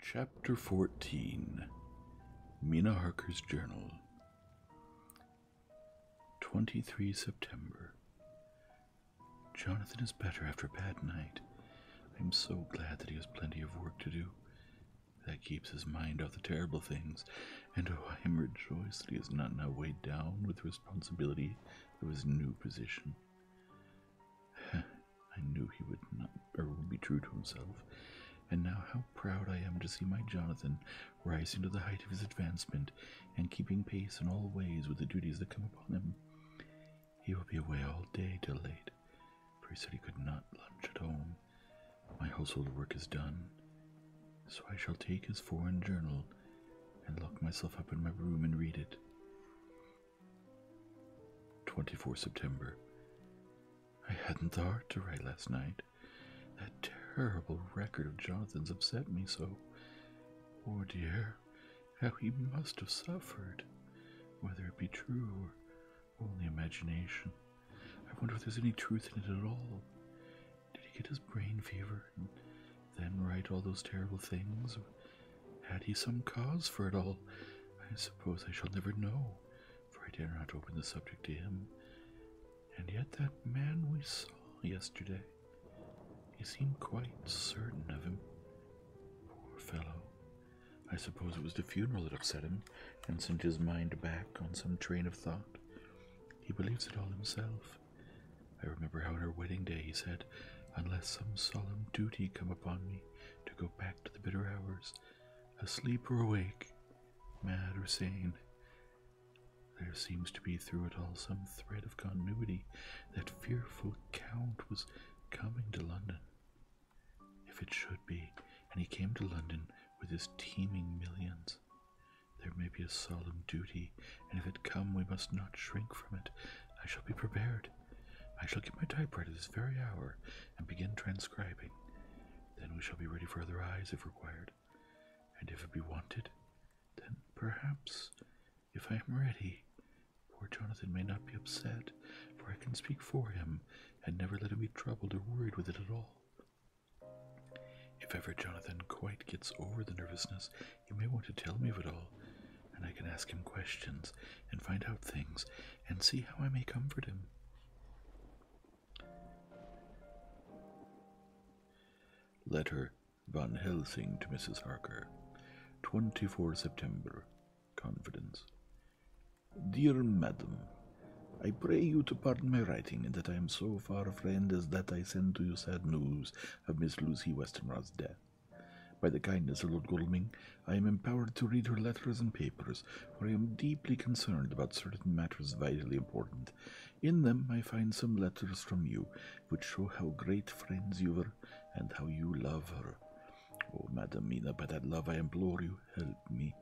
Chapter 14 Mina Harker's Journal 23 September Jonathan is better after a bad night. I'm so glad that he has plenty of work to do. That keeps his mind off the terrible things, and oh, I am rejoiced that he is not now weighed down with the responsibility of his new position. I knew he would not or would be true to himself. And now how proud I am to see my Jonathan rising to the height of his advancement and keeping pace in all ways with the duties that come upon him. He will be away all day till late, for he said he could not lunch at home. My household work is done, so I shall take his foreign journal and lock myself up in my room and read it. 24 September. I hadn't the heart to write last night. That terrible record of Jonathan's upset me so. Poor oh, dear, how he must have suffered, whether it be true or only imagination. I wonder if there's any truth in it at all. Did he get his brain fever and then write all those terrible things? Had he some cause for it all? I suppose I shall never know, for I dare not open the subject to him. And yet, that man we saw yesterday, he seemed quite certain of him. Poor fellow. I suppose it was the funeral that upset him and sent his mind back on some train of thought. He believes it all himself. I remember how on our wedding day he said, Unless some solemn duty come upon me to go back to the bitter hours, asleep or awake, mad or sane. There seems to be through it all some thread of continuity. That fearful count was coming to London. If it should be, and he came to London with his teeming millions. There may be a solemn duty, and if it come, we must not shrink from it. I shall be prepared. I shall get my typewriter this very hour and begin transcribing. Then we shall be ready for other eyes if required. And if it be wanted, then perhaps, if I am ready, poor Jonathan may not be upset, for I can speak for him and never let him be troubled or worried with it at all. If ever Jonathan quite gets over the nervousness, he may want to tell me of it all, and I can ask him questions and find out things and see how I may comfort him. Letter Van Helsing to Mrs. Harker, 24 September. Confidence. Dear Madam, I pray you to pardon my writing, and that I am so far a friend as that I send to you sad news of Miss Lucy Westenra's death. By the kindness of Lord Godalming, I am empowered to read her letters and papers, for I am deeply concerned about certain matters vitally important. In them I find some letters from you, which show how great friends you were and how you love her. Oh, Madam Mina, by that love I implore you, help me.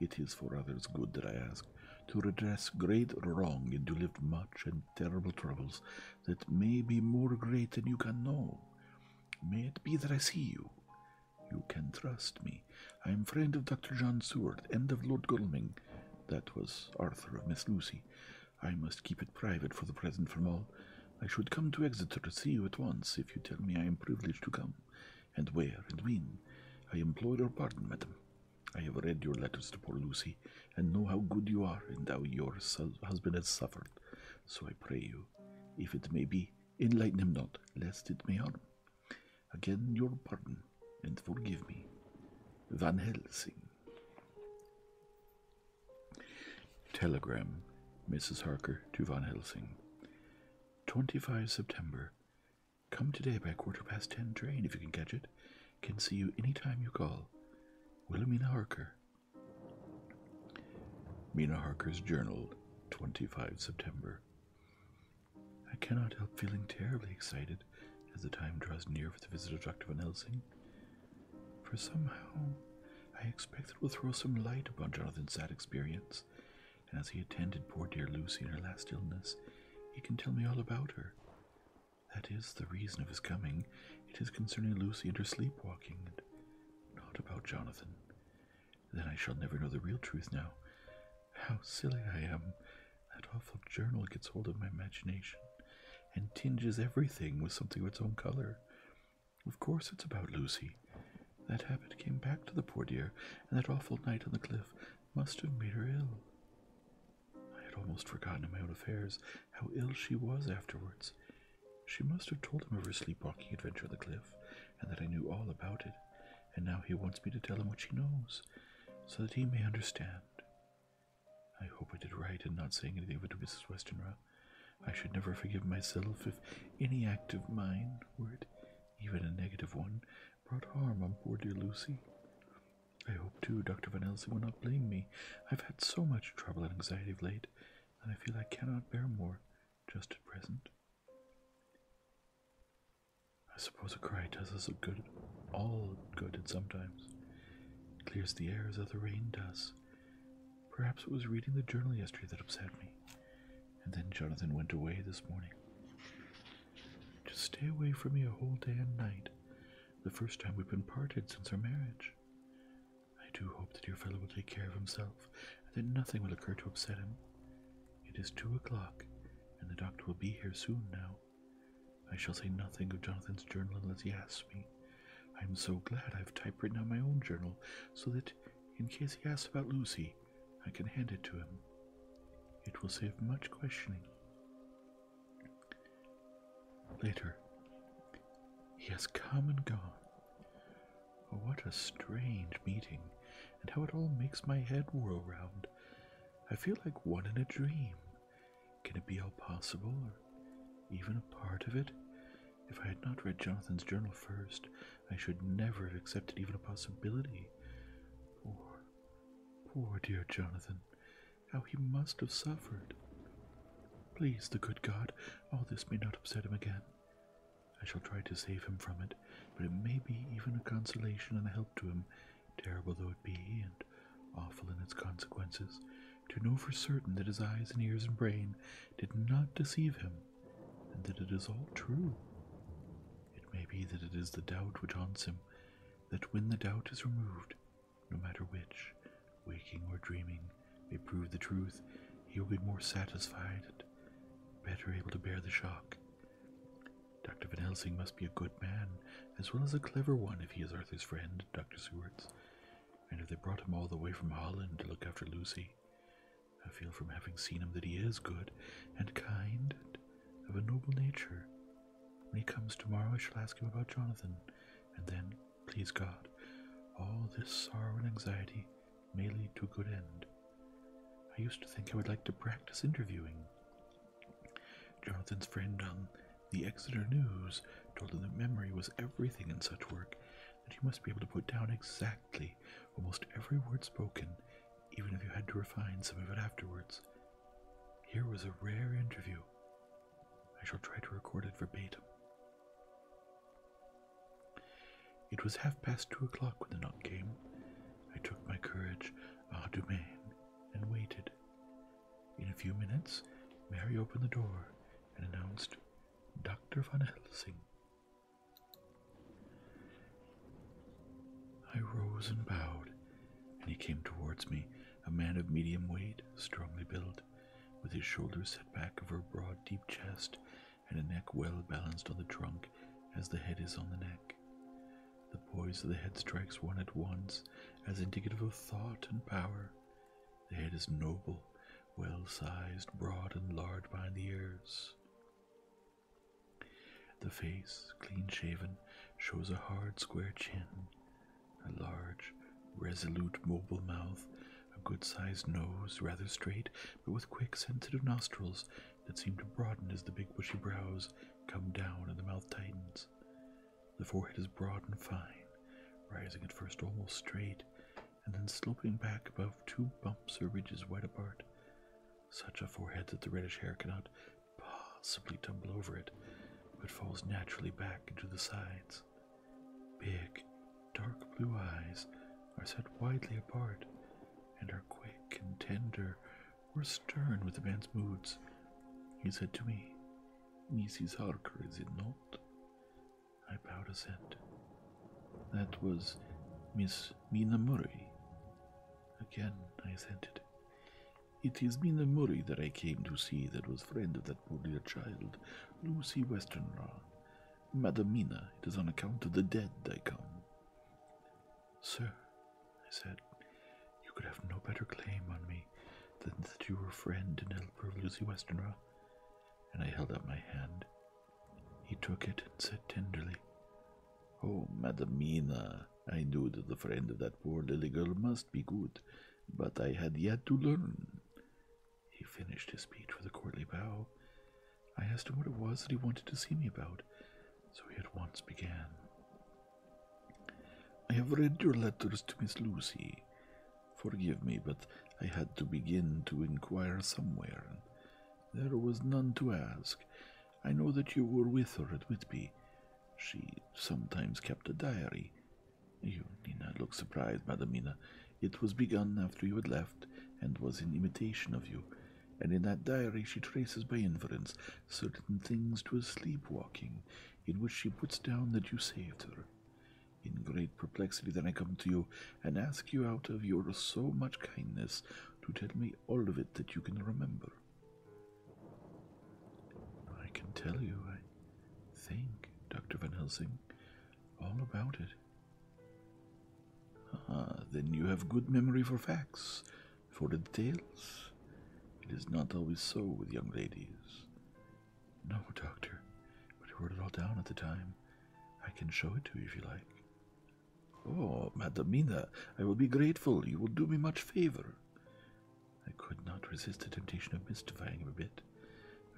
It is for others' good that I ask, to redress great wrong and to lift much and terrible troubles that may be more great than you can know. May it be that I see you, you can trust me. I am friend of Dr. John Seward and of Lord Godalming. That was Arthur of Miss Lucy. I must keep it private for the present from all. I should come to Exeter to see you at once if you tell me I am privileged to come, and where and when. I implore your pardon, madam. I have read your letters to poor Lucy, and know how good you are, and how your husband has suffered. So I pray you, if it may be, Enlighten him not, lest it may harm. Again, your pardon and forgive me. Van Helsing. Telegram, Mrs. Harker to Van Helsing. 25 September. Come today by quarter past ten train if you can catch it. Can see you any time you call. Wilhelmina Harker. Mina Harker's journal, 25 September. I cannot help feeling terribly excited as the time draws near for the visit of Dr. Van Helsing, for somehow I expect it will throw some light upon Jonathan's sad experience, and as he attended poor dear Lucy in her last illness, he can tell me all about her. That is the reason of his coming. It is concerning Lucy and her sleepwalking, and not about Jonathan. Then I shall never know the real truth now. How silly I am! That awful journal gets hold of my imagination and tinges everything with something of its own color. Of course, it's about Lucy. That habit came back to the poor dear, and that awful night on the cliff must have made her ill. I had almost forgotten in my own affairs how ill she was afterwards. She must have told him of her sleepwalking adventure on the cliff, and that I knew all about it, and now he wants me to tell him what she knows, so that he may understand. I hope I did right in not saying anything to Mrs. Westenra. I should never forgive myself if any act of mine, were it even a negative one, brought harm on poor dear Lucy. I hope, too, Dr. Van Helsing will not blame me. I've had so much trouble and anxiety of late that I feel I cannot bear more just at present. I suppose a cry does us good, all good at sometimes. clears the air as other rain does. Perhaps it was reading the journal yesterday that upset me. And then Jonathan went away this morning. Just stay away from me a whole day and night. The first time we've been parted since our marriage. I do hope the dear fellow will take care of himself, and that nothing will occur to upset him. It is two o'clock, and the doctor will be here soon now. I shall say nothing of Jonathan's journal unless he asks me. I am so glad I've typewritten my own journal, so that, in case he asks about Lucy, I can hand it to him. It will save much questioning. Later. He has come and gone. Oh, what a strange meeting, and how it all makes my head whirl round. I feel like one in a dream. Can it be all possible, or even a part of it? If I had not read Jonathan's journal first, I should never have accepted even a possibility. Poor, poor dear Jonathan, how he must have suffered. Please, the good God, all this may not upset him again. I shall try to save him from it, but it may be even a consolation and a help to him, terrible though it be, and awful in its consequences, to know for certain that his eyes and ears and brain did not deceive him, and that it is all true. It may be that it is the doubt which haunts him, that when the doubt is removed, no matter which, waking or dreaming, may prove the truth, he will be more satisfied and better able to bear the shock. Dr. Van Helsing must be a good man, as well as a clever one if he is Arthur's friend, Dr. Seward's. And if they brought him all the way from Holland to look after Lucy, I feel from having seen him that he is good and kind and of a noble nature. When he comes tomorrow, I shall ask him about Jonathan, and then, please God, all this sorrow and anxiety may lead to a good end. I used to think I would like to practice interviewing. Jonathan's friend on the Exeter News told him that memory was everything in such work, that you must be able to put down exactly almost every word spoken, even if you had to refine some of it afterwards. Here was a rare interview. I shall try to record it verbatim. It was half past two o'clock when the knock came. I took my courage à ah, deux and waited. In a few minutes, Mary opened the door and announced Dr. Van Helsing. I rose and bowed, and he came towards me, a man of medium weight, strongly built, with his shoulders set back over a broad, deep chest and a neck well balanced on the trunk as the head is on the neck. The poise of the head strikes one at once as indicative of thought and power. The head is noble, well sized, broad, and large behind the ears. The face, clean shaven, shows a hard square chin, a large, resolute, mobile mouth a good sized nose, rather straight, but with quick, sensitive nostrils that seem to broaden as the big bushy brows come down and the mouth tightens. The forehead is broad and fine, rising at first almost straight, and then sloping back above two bumps or ridges wide apart. Such a forehead that the reddish hair cannot possibly tumble over it, but falls naturally back into the sides. Big, dark blue eyes are set widely apart and are quick and tender or stern with the man's moods. He said to me, Mrs. Harker, is it not? I bowed assent. That was Miss Mina Murray. Again I assented. It is Mina Murray that I came to see that was friend of that poor dear child, Lucy Westenra. Madam Mina, it is on account of the dead they come. Sir, I said, you could have no better claim on me than that you were friend and helper of Lucy Westenra. And I held out my hand. He took it and said tenderly, Oh, Madam Mina, I knew that the friend of that poor little girl must be good, but I had yet to learn. He finished his speech with a courtly bow. I asked him what it was that he wanted to see me about, so he at once began. I have read your letters to Miss Lucy. Forgive me, but I had to begin to inquire somewhere, and there was none to ask. I know that you were with her at Whitby. She sometimes kept a diary. You need not look surprised, Madamina. It was begun after you had left, and was in imitation of you. And in that diary she traces by inference certain things to a sleepwalking, in which she puts down that you saved her. In great perplexity then I come to you, and ask you out of your so much kindness to tell me all of it that you can remember. I can tell you, I think, Dr. Van Helsing, all about it. Ah, then you have good memory for facts, for the details. It is not always so with young ladies. No, Doctor, but I wrote it all down at the time. I can show it to you if you like. Oh, Madamina, I will be grateful. You will do me much favor. I could not resist the temptation of mystifying him a bit.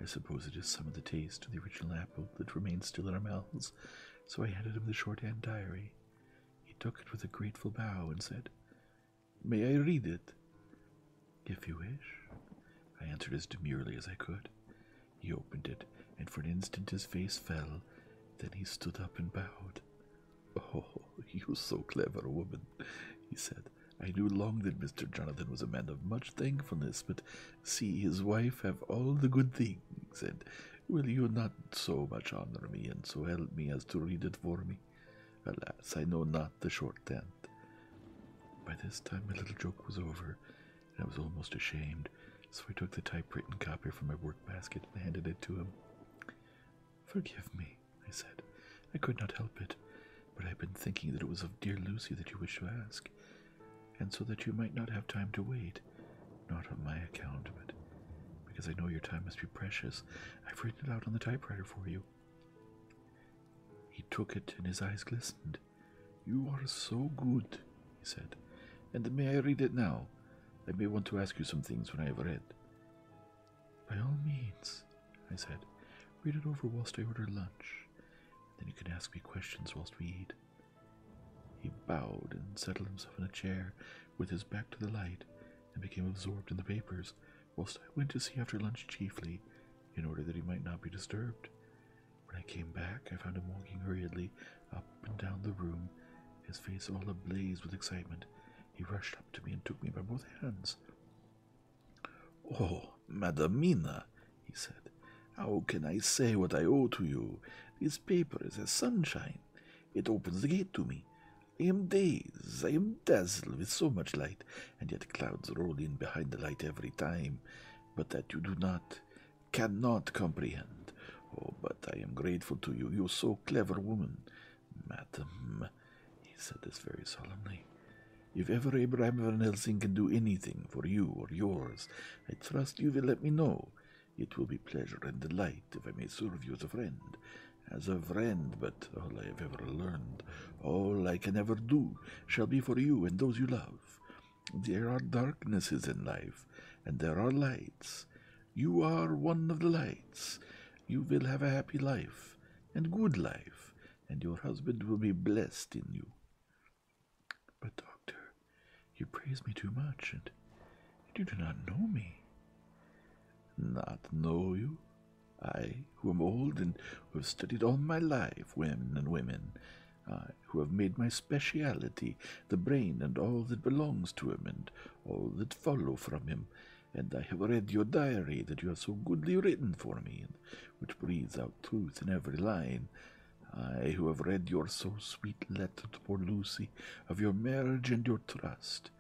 I suppose it is some of the taste of the original apple that remains still in our mouths so I handed him the shorthand diary. He took it with a grateful bow and said, May I read it? If you wish, I answered as demurely as I could. He opened it, and for an instant his face fell. Then he stood up and bowed. Oh, you so clever, woman, he said. I knew long that Mr. Jonathan was a man of much thankfulness, but see his wife have all the good things, and will you not so much honor me and so help me as to read it for me? Alas, I know not the short end. By this time, my little joke was over, and I was almost ashamed, so I took the typewritten copy from my work basket and handed it to him. Forgive me, I said. I could not help it, but I have been thinking that it was of dear Lucy that you wished to ask and so that you might not have time to wait, not on my account, but because I know your time must be precious, I've written it out on the typewriter for you. He took it, and his eyes glistened. You are so good, he said. And may I read it now? I may want to ask you some things when I have read. By all means, I said. Read it over whilst I order lunch. then you can ask me questions whilst we eat. He bowed and settled himself in a chair with his back to the light and became absorbed in the papers, whilst I went to see after lunch chiefly, in order that he might not be disturbed. When I came back, I found him walking hurriedly up and down the room, his face all ablaze with excitement. He rushed up to me and took me by both hands. Oh, Madamina, he said. How can I say what I owe to you? This paper is as sunshine. It opens the gate to me. I am dazed, I am dazzled with so much light, and yet clouds roll in behind the light every time, but that you do not, cannot comprehend. Oh, but I am grateful to you, you so clever woman. Madam, he said this very solemnly, if ever Ibrahim Van Helsing can do anything for you or yours, I trust you will let me know. It will be pleasure and delight if I may serve you as a friend. As a friend, but all I have ever learned, all I can ever do, shall be for you and those you love. There are darknesses in life, and there are lights. You are one of the lights. You will have a happy life, and good life, and your husband will be blessed in you. But, Doctor, you praise me too much, and, you do not know me. Not know you? I, who am old and who have studied all my life women and women, I, who have made my speciality the brain and all that belongs to him and all that follow from him, and I have read your diary that you have so goodly written for me, which breathes out truth in every line. I, who have read your so sweet letter to poor Lucy of your marriage and your trust,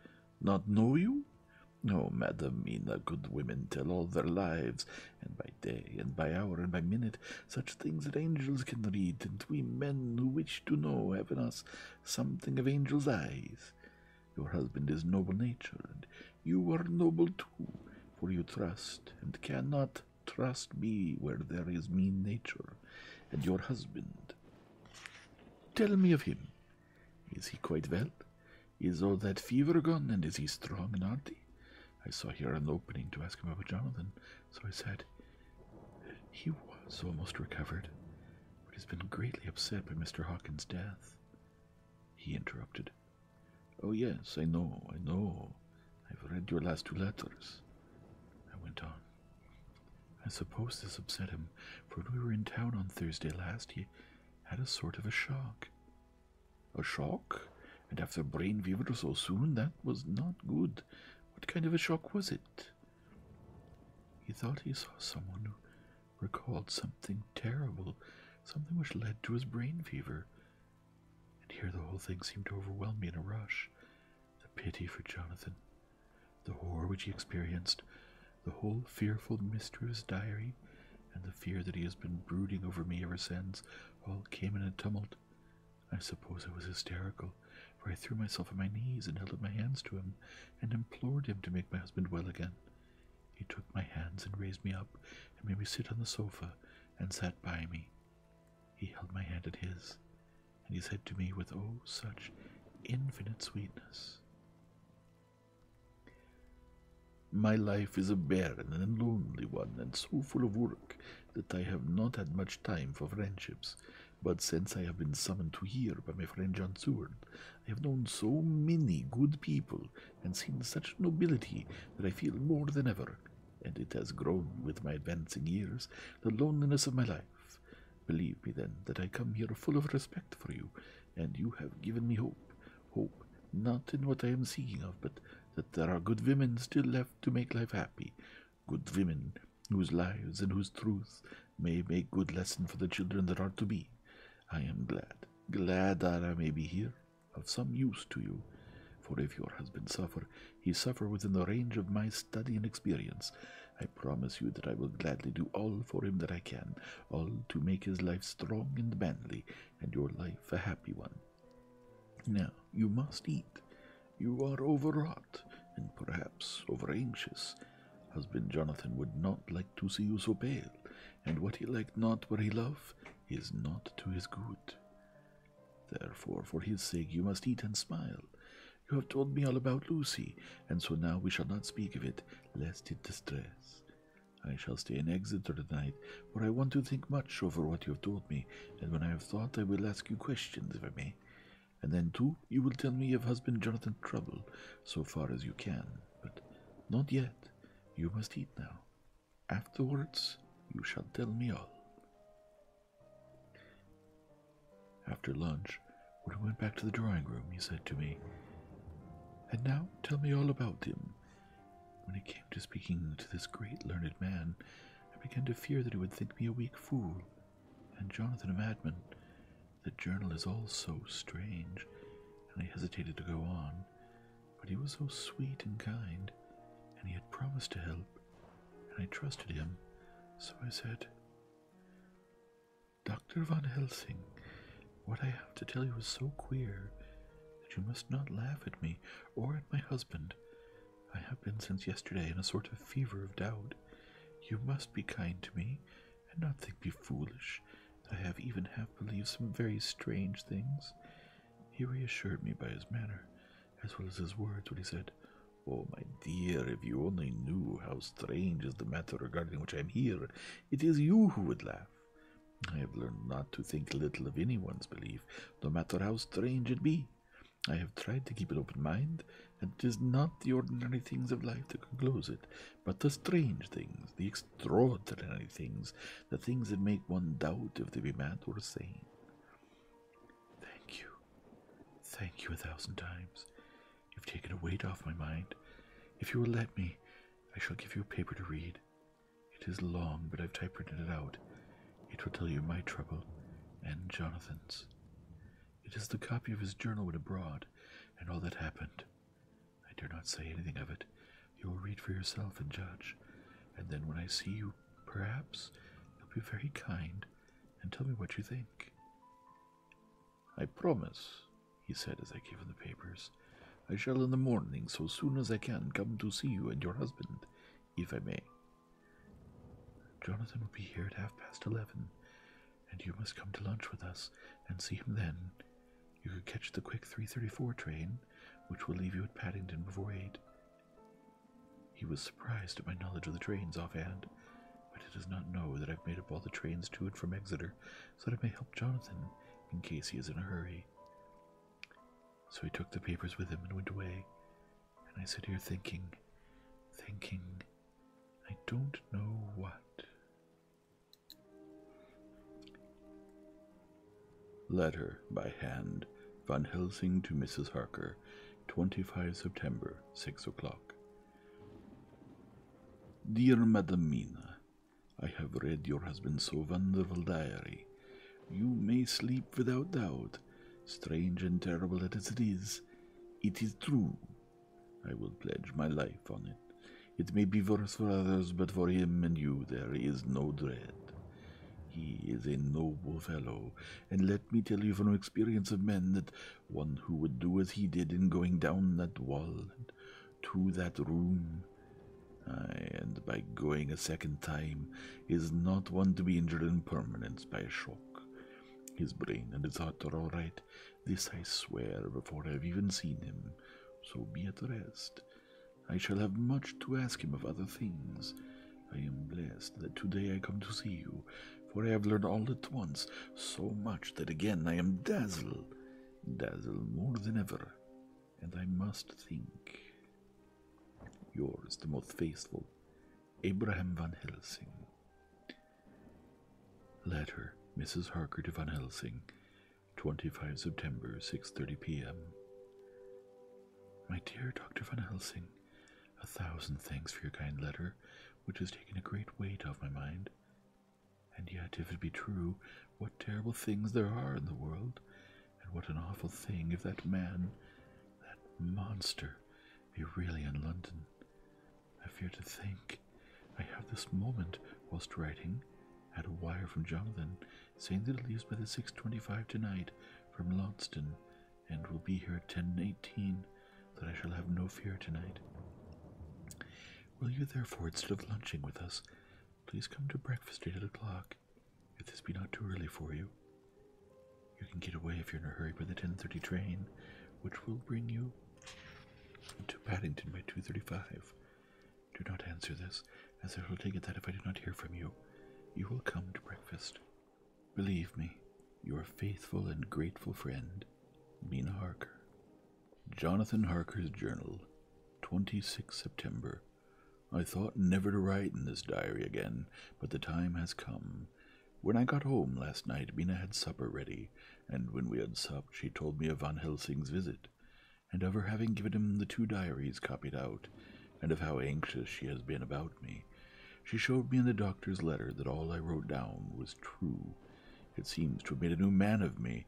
not know you? No, oh, Madam Mina, good women tell all their lives, and by day, and by hour, and by minute, such things that angels can read, and we men who wish to know have in us something of angels' eyes. Your husband is noble natured, you are noble too, for you trust, and cannot Trust me where there is mean nature. And your husband. Tell me of him. Is he quite well? Is all that fever gone, and is he strong and hearty? I saw here an opening to ask him about Jonathan, so I said, He was almost recovered, but has been greatly upset by Mr. Hawkins' death. He interrupted. Oh, yes, I know, I know. I've read your last two letters, I went on. I suppose this upset him, for when we were in town on Thursday last, he had a sort of a shock. A shock? And after brain fever so soon, that was not good. What kind of a shock was it? He thought he saw someone who recalled something terrible, something which led to his brain fever, and here the whole thing seemed to overwhelm me in a rush. The pity for Jonathan, the horror which he experienced, the whole fearful mystery of his diary, and the fear that he has been brooding over me ever since, all came in a tumult. I suppose I was hysterical, for I threw myself on my knees and held up my hands to him, and implored him to make my husband well again. He took my hands and raised me up, and made me sit on the sofa, and sat by me, he held my hand in his, and he said to me with oh such infinite sweetness, My life is a barren and lonely one, and so full of work that I have not had much time for friendships. But since I have been summoned to here by my friend John Seward, I have known so many good people and seen such nobility that I feel more than ever and it has grown with my advancing years, the loneliness of my life. Believe me, then, that I come here full of respect for you, and you have given me hope. Hope, not in what I am seeking of, but that there are good women still left to make life happy. Good women whose lives and whose truth may make good lesson for the children that are to be. I am glad, glad that I may be here, of some use to you. For if your husband suffer, he suffer within the range of my study and experience. I promise you that I will gladly do all for him that I can, all to make his life strong and manly, and your life a happy one. Now, you must eat. You are overwrought, and perhaps over anxious. Husband Jonathan would not like to see you so pale, and what he liked not where he love is not to his good. Therefore, for his sake, you must eat and smile. You have told me all about Lucy, and so now we shall not speak of it, lest it distress. I shall stay in Exeter tonight, for I want to think much over what you have told me, and when I have thought, I will ask you questions, if I may. And then, too, you will tell me of husband Jonathan's Trouble, so far as you can, but not yet. You must eat now. Afterwards, you shall tell me all. After lunch, when we went back to the drawing room, he said to me, And now tell me all about him. When he came to speaking to this great learned man, I began to fear that he would think me a weak fool, and Jonathan a madman. The journal is all so strange, and I hesitated to go on, but he was so sweet and kind, and he had promised to help, and I trusted him, so I said, Dr. Van Helsing, what I have to tell you is so queer that you must not laugh at me or at my husband. I have been since yesterday in a sort of fever of doubt. You must be kind to me and not think me foolish I have even half believed some very strange things. He reassured me by his manner, as well as his words when he said, Oh, my dear, if you only knew how strange is the matter regarding which I am here, it is you who would laugh. I have learned not to think little of anyone's belief, no matter how strange it be. I have tried to keep an open mind, and it is not the ordinary things of life that close it, but the strange things, the extraordinary things, the things that make one doubt if they be mad or sane. Thank you. Thank you a thousand times. You've taken a weight off my mind. If you will let me, I shall give you a paper to read. It is long, but I've typewritten it out. It will tell you my trouble and Jonathan's. It is the copy of his journal when abroad and all that happened. I dare not say anything of it. You will read for yourself and judge, and then when I see you Perhaps you'll be very kind and tell me what you think. I promise, he said as I gave him the papers. I shall in the morning, so soon as I can, come to see you and your husband, if I may. Jonathan will be here at half past eleven, and you must come to lunch with us and see him then. You could catch the quick 334 train, which will leave you at Paddington before eight, he was surprised at my knowledge of the trains offhand, but he does not know that I've made up all the trains to and from Exeter so that I may help Jonathan in case he is in a hurry. So he took the papers with him and went away, and I sit here thinking, thinking, I don't know what. Letter by hand, Van Helsing to Mrs. Harker, 25 September, 6 o'clock. Dear Madam Mina, I have read your husband's so wonderful diary. You may sleep without doubt. Strange and terrible as it is, it is true. I will pledge my life on it. It may be worse for others, but for him and you there is no dread. He is a noble fellow, and let me tell you from experience of men that one who would do as he did in going down that wall and to that room, and by going a second time, is not one to be injured in permanence by a shock. His brain and his heart are all right. This I swear before I have even seen him. So be at rest. I shall have much to ask him of other things, I am blessed that today I come to see you, for I have learned all at once so much that again I am dazzled, dazzled more than ever, and I must think. Yours, the most faithful, Abraham Van Helsing. Letter, Mrs. Harker to Van Helsing, 25 September, 6.30 p.m. My dear Dr. Van Helsing, a thousand thanks for your kind letter, which has taken a great weight off my mind. And yet, if it be true, what terrible things there are in the world, and what an awful thing if that man, that monster, be really in London. I fear to think I have this moment, whilst writing, had a wire from Jonathan saying that he leaves by the 6.25 tonight from Launceston and will be here at ten eighteen, and that I shall have no fear tonight. Will you therefore, instead of lunching with us, please come to breakfast at eight o'clock, if this be not too early for you? You can get away if you're in a hurry by the ten thirty train, which will bring you to Paddington by two thirty-five. Do not answer this, as I shall take it that if I do not hear from you, you will come to breakfast. Believe me, your faithful and grateful friend, Mina Harker. Jonathan Harker's Journal, twenty sixth September. I thought never to write in this diary again, but the time has come. When I got home last night, Mina had supper ready, and when we had supped, she told me of Van Helsing's visit, and of her having given him the two diaries copied out, and of how anxious she has been about me. She showed me in the doctor's letter that all I wrote down was true. It seems to have made a new man of me.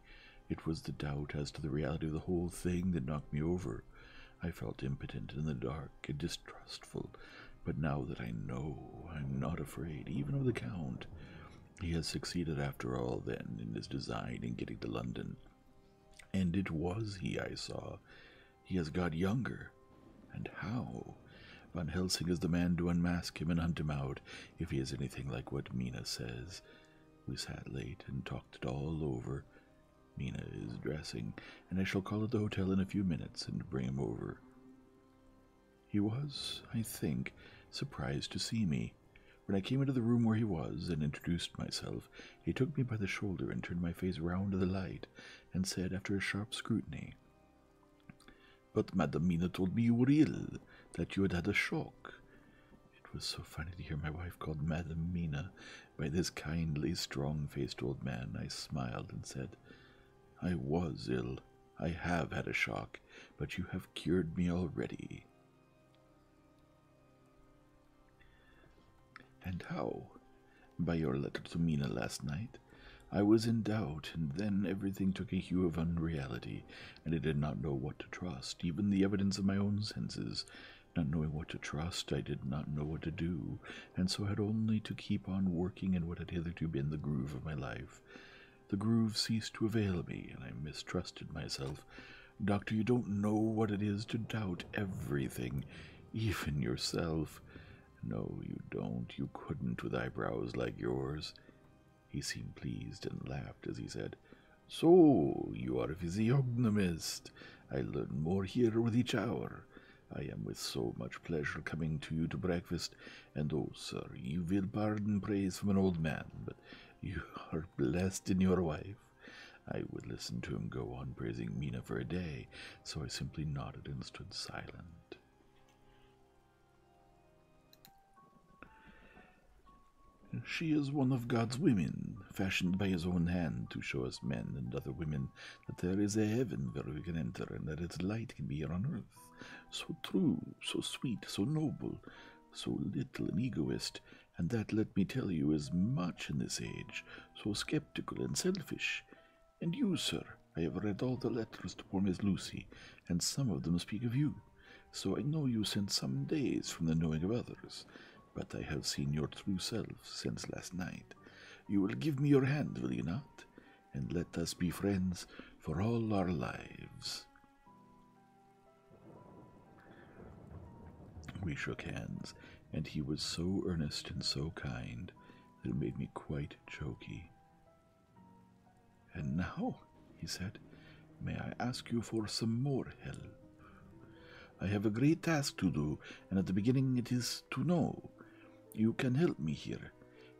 It was the doubt as to the reality of the whole thing that knocked me over. I felt impotent in the dark and distrustful, but now that I know, I'm not afraid, even of the Count. He has succeeded, after all, then, in his design in getting to London. And it was he I saw. He has got younger. And how? Van Helsing is the man to unmask him and hunt him out if he is anything like what Mina says. We sat late and talked it all over. Mina is dressing, and I shall call at the hotel in a few minutes and bring him over. He was, I think, surprised to see me. When I came into the room where he was and introduced myself, he took me by the shoulder and turned my face round to the light and said after a sharp scrutiny, But Madam Mina told me you were ill, that you had had a shock. It was so funny to hear my wife called Madam Mina by this kindly, strong faced old man. I smiled and said, I was ill. I have had a shock, but you have cured me already. And how? By your letter to Mina last night. I was in doubt, and then everything took a hue of unreality, and I did not know what to trust, even the evidence of my own senses. Not knowing what to trust, I did not know what to do, and so had only to keep on working in what had hitherto been the groove of my life. The groove ceased to avail me, and I mistrusted myself. Doctor, you don't know what it is to doubt everything, even yourself. No, you don't. You couldn't with eyebrows like yours. He seemed pleased and laughed as he said, So, you are a physiognomist. I learn more here with each hour. I am with so much pleasure coming to you to breakfast, and oh, sir, you will pardon praise from an old man, but you are blessed in your wife. I would listen to him go on praising Mina for a day, so I simply nodded and stood silent. She is one of God's women, fashioned by his own hand to show us men and other women that there is a heaven where we can enter and that its light can be here on earth. So true, so sweet, so noble, so little an egoist, and that, let me tell you, is much in this age, so skeptical and selfish. And you, sir, I have read all the letters to poor Miss Lucy, and some of them speak of you. So I know you since some days from the knowing of others, but I have seen your true self since last night. You will give me your hand, will you not? And let us be friends for all our lives. We shook hands, and he was so earnest and so kind that it made me quite choky. And now, he said, may I ask you for some more help? I have a great task to do, and at the beginning it is to know. You can help me here.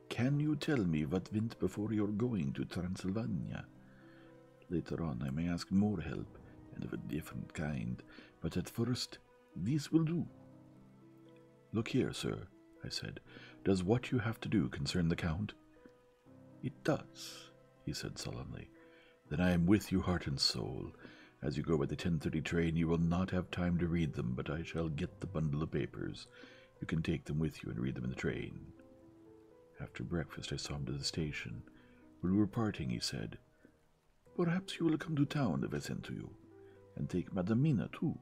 Can you tell me what went before your going to Transylvania? Later on, I may ask more help, and of a different kind, but at first, these will do. Look here, sir, I said. Does what you have to do concern the Count? It does, he said sullenly. Then I am with you heart and soul. As you go by the 10.30 train, you will not have time to read them, but I shall get the bundle of papers. You can take them with you and read them in the train. After breakfast, I saw him to the station. When we were parting, he said, Perhaps you will come to town if I send to you, and take Madam Mina too.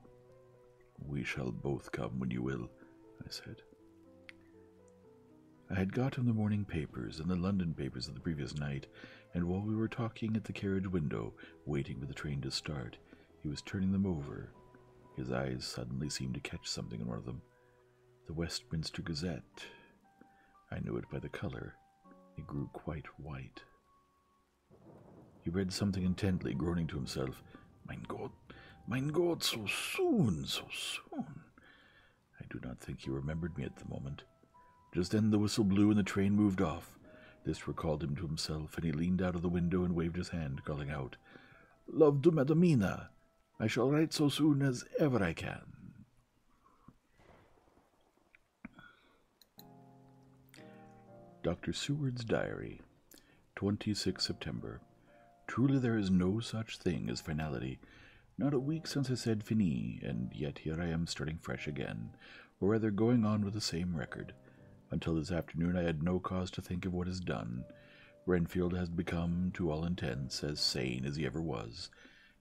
We shall both come when you will, I said. I had got him the morning papers and the London papers of the previous night, and while we were talking at the carriage window, waiting for the train to start, he was turning them over. His eyes suddenly seemed to catch something in one of them. The Westminster Gazette. I knew it by the color. It grew quite white. He read something intently, groaning to himself. Mein God, mein God, so soon, so soon. I do not think he remembered me at the moment. Just then the whistle blew and the train moved off. This recalled him to himself, and he leaned out of the window and waved his hand, calling out, Love to Madamina. I shall write so soon as ever I can. Dr. Seward's Diary, 26 September. Truly, there is no such thing as finality. Not a week since I said fini, and yet here I am starting fresh again, or rather going on with the same record. Until this afternoon, I had no cause to think of what is done. Renfield has become, to all intents, as sane as he ever was.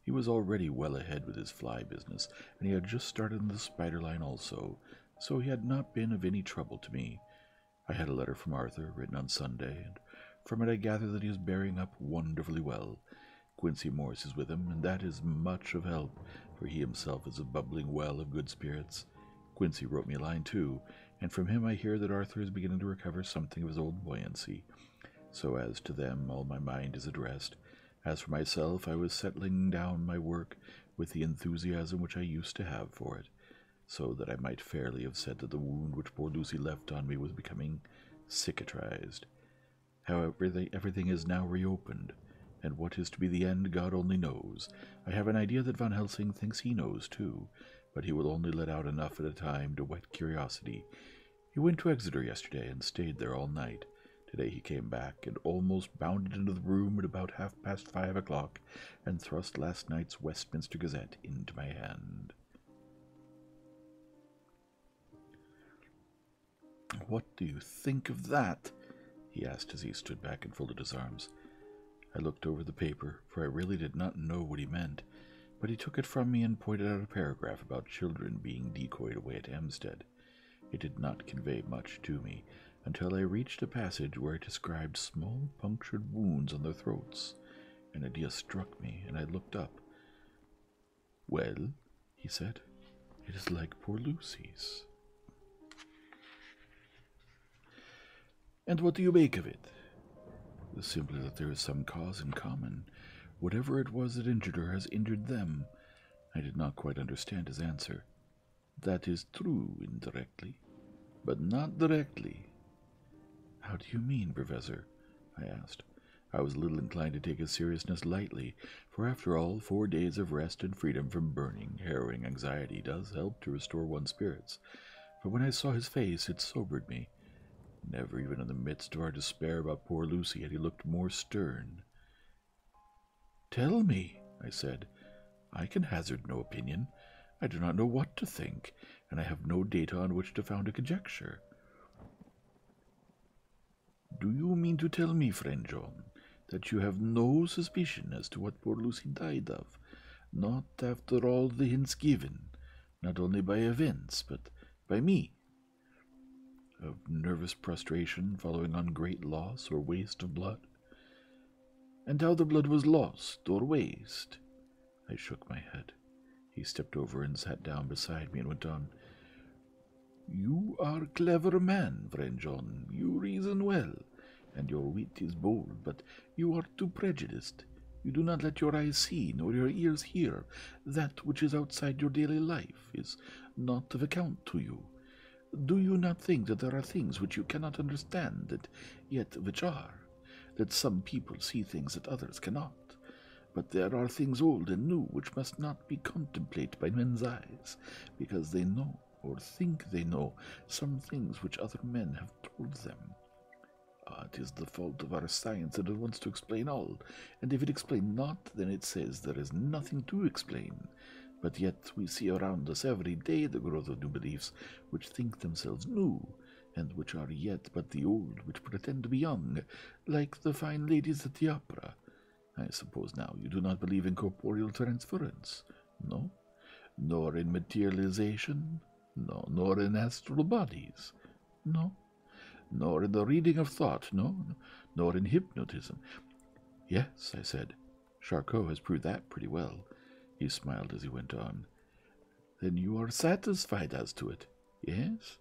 He was already well ahead with his fly business, and he had just started in the spider line also, so he had not been of any trouble to me. I had a letter from Arthur, written on Sunday, and from it I gather that he is bearing up wonderfully well. Quincey Morris is with him, and that is much of help, for he himself is a bubbling well of good spirits. Quincey wrote me a line too, and from him I hear that Arthur is beginning to recover something of his old buoyancy. So as to them, all my mind is addressed. As for myself, I was settling down my work with the enthusiasm which I used to have for it, so that I might fairly have said that the wound which poor Lucy left on me was becoming cicatrised. However, everything is now reopened, and what is to be the end, God only knows. I have an idea that Van Helsing thinks he knows too, but he will only let out enough at a time to whet curiosity. He went to Exeter yesterday and stayed there all night, Today he came back and almost bounded into the room at about half past five o'clock and thrust last night's Westminster Gazette into my hand. What do you think of that? he asked as he stood back and folded his arms. I looked over the paper, for I really did not know what he meant, but he took it from me and pointed out a paragraph about children being decoyed away at Hampstead. It did not convey much to me until I reached a passage where it described small punctured wounds on their throats. An idea struck me, and I looked up. Well, he said, it is like poor Lucy's. And what do you make of it? Simply that there is some cause in common. Whatever it was that injured her has injured them, I did not quite understand his answer. That is true indirectly, but not directly. How do you mean, Professor? I asked. I was little inclined to take his seriousness lightly, for after all, four days of rest and freedom from burning, harrowing anxiety does help to restore one's spirits. But when I saw his face, it sobered me. Never even in the midst of our despair about poor Lucy had he looked more stern. Tell me, I said. I can hazard no opinion. I do not know what to think, and I have no data on which to found a conjecture. Do you mean to tell me, friend John, that you have no suspicion as to what poor Lucy died of? Not after all the hints given, not only by events, but by me, of nervous prostration following on great loss or waste of blood, and how the blood was lost or wasted, I shook my head. He stepped over and sat down beside me and went on. You are a clever man, friend John. You reason well, and your wit is bold, but you are too prejudiced. You do not let your eyes see nor your ears hear that which is outside your daily life is not of account to you? Do you not think that there are things which you cannot understand, and yet which are? That some people see things that others cannot? But there are things old and new which must not be contemplated by men's eyes, because they know, or think they know, some things which other men have told them. Ah, it is the fault of our science that it wants to explain all, and if it explain not, then it says there is nothing to explain. But yet we see around us every day the growth of new beliefs which think themselves new, and which are yet but the old which pretend to be young, like the fine ladies at the opera. I suppose now you do not believe in corporeal transference, no? Nor in materialization, no, nor in astral bodies, no? Nor in the reading of thought, no? Nor in hypnotism. Yes, I said. Charcot has proved that pretty well. He smiled as he went on. Then you are satisfied as to it, yes?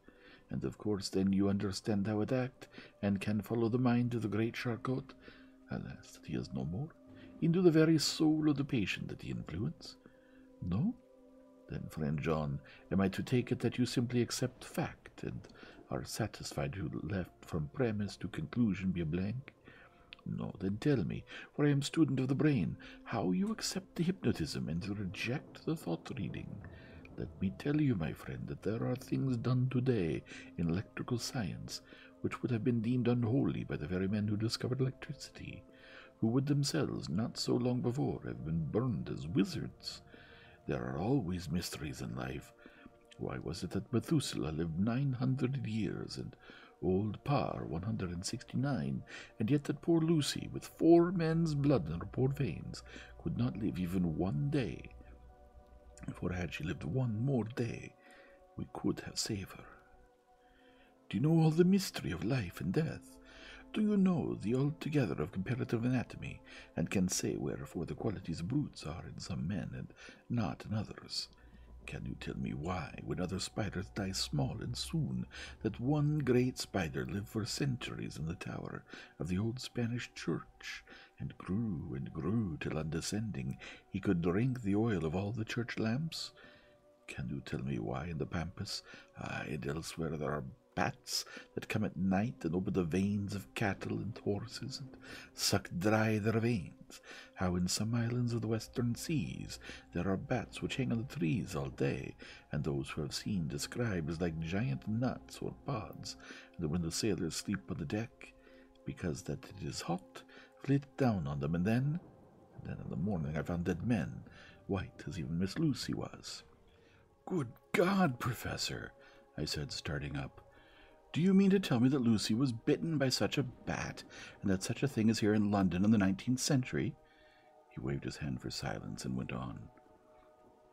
And of course, then you understand how it acts, and can follow the mind of the great Charcot. Alas, that he is no more. Into the very soul of the patient that he influences. No? Then, friend John, am I to take it that you simply accept facts? and are satisfied who left from premise to conclusion be a blank? No, then tell me, for I am student of the brain, how you accept the hypnotism and reject the thought reading. Let me tell you, my friend, that there are things done today in electrical science which would have been deemed unholy by the very men who discovered electricity, who would themselves, not so long before, have been burned as wizards. There are always mysteries in life, why was it that Methuselah lived nine hundred years and old Parr one hundred and sixty-nine, and yet that poor Lucy, with four men's blood in her poor veins, could not live even one day? For had she lived one more day, we could have saved her. Do you know all the mystery of life and death? Do you know the altogether of comparative anatomy, and can say wherefore the qualities of brutes are in some men and not in others. Can you tell me why, when other spiders die small and soon, that one great spider lived for centuries in the tower of the old Spanish church, and grew and grew till on descending he could drink the oil of all the church lamps? Can you tell me why in the pampas, ah, and elsewhere, there are bats that come at night and over the veins of cattle and horses and suck dry their veins, how in some islands of the western seas there are bats which hang on the trees all day, and those who have seen describe as like giant nuts or pods, and when the sailors sleep on the deck, because that it is hot, flit down on them, and then, and then in the morning I found dead men, white as even Miss Lucy was. Good God, Professor, I said, starting up. Do you mean to tell me that Lucy was bitten by such a bat, and that such a thing is here in London in the nineteenth century? He waved his hand for silence and went on.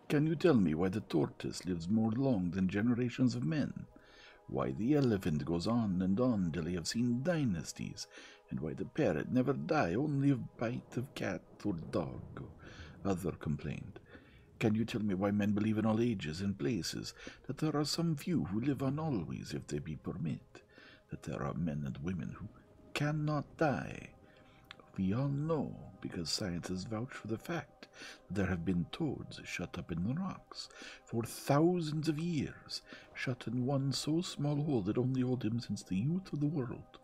Can you tell me why the tortoise lives more long than generations of men? Why the elephant goes on and on till he have seen dynasties, and why the parrot never die only of bite of cat or dog or other complained. Can you tell me why men believe in all ages and places, that there are some few who live on always if they be permit, that there are men and women who cannot die? We all know, because science has vouched for the fact, that there have been toads shut up in the rocks for thousands of years, shut in one so small hole that only held them since the youth of the world.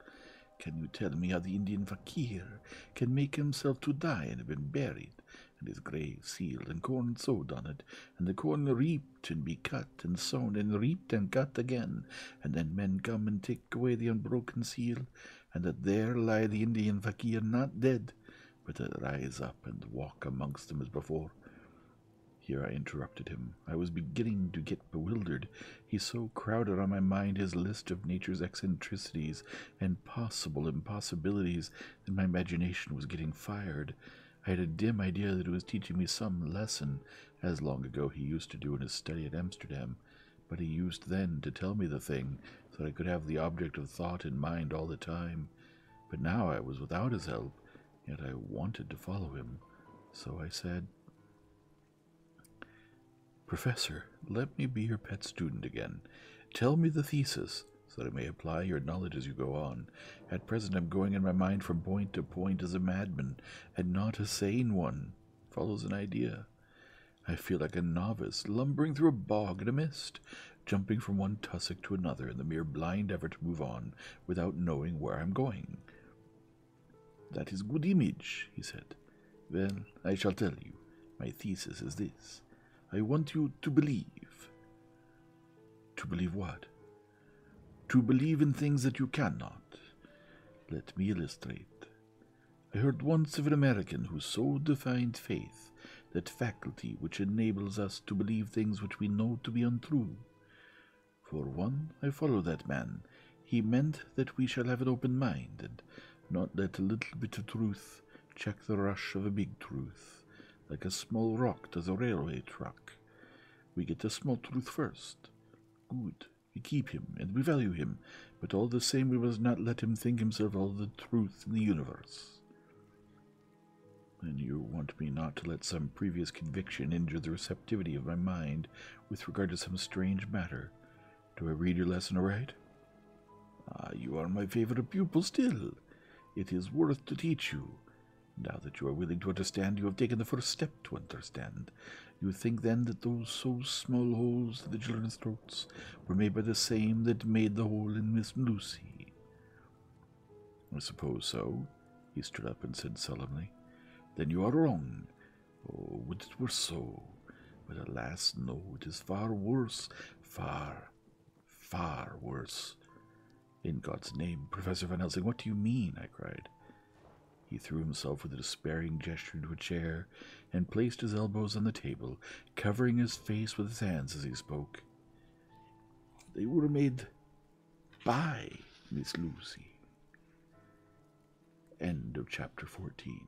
Can you tell me how the Indian fakir can make himself to die and have been buried, and his grave sealed, and corn sowed on it, and the corn reaped and be cut and sown, and reaped and cut again, and then men come and take away the unbroken seal, and that there lie the Indian fakir not dead, but that rise up and walk amongst them as before. Here I interrupted him. I was beginning to get bewildered. He so crowded on my mind his list of nature's eccentricities and possible impossibilities that my imagination was getting fired. I had a dim idea that it was teaching me some lesson, as long ago he used to do in his study at Amsterdam, but he used then to tell me the thing, so that I could have the object of thought in mind all the time. But now I was without his help, yet I wanted to follow him, so I said, Professor, let me be your pet student again. Tell me the thesis, so that I may apply your knowledge as you go on. At present, I'm going in my mind from point to point as a madman, and not a sane one. Follows an idea. I feel like a novice, lumbering through a bog in a mist, jumping from one tussock to another in the mere blind effort to move on without knowing where I'm going. That is good image, he said. Well, I shall tell you. My thesis is this I want you to believe. To believe what? To believe in things that you cannot. Let me illustrate. I heard once of an American who so defined faith that faculty which enables us to believe things which we know to be untrue. For one, I follow that man. He meant that we shall have an open mind, and not let a little bit of truth check the rush of a big truth, like a small rock to the railway track. We get a small truth first. Good. We keep him, and we value him, but all the same we must not let him think himself all the truth in the universe. And you want me not to let some previous conviction injure the receptivity of my mind with regard to some strange matter, do I read your lesson aright? Ah, you are my favorite pupil still. It is worth to teach you. Now that you are willing to understand, you have taken the first step to understand. You think then that those so small holes in the children's throats were made by the same that made the hole in Miss Lucy? I suppose so, he stood up and said solemnly. Then you are wrong. Oh, would it were so. But alas, no, it is far worse, far, far worse. In God's name, Professor Van Helsing, what do you mean? I cried. He threw himself with a despairing gesture into a chair and placed his elbows on the table, covering his face with his hands as he spoke. They were made by Miss Lucy. End of chapter 14.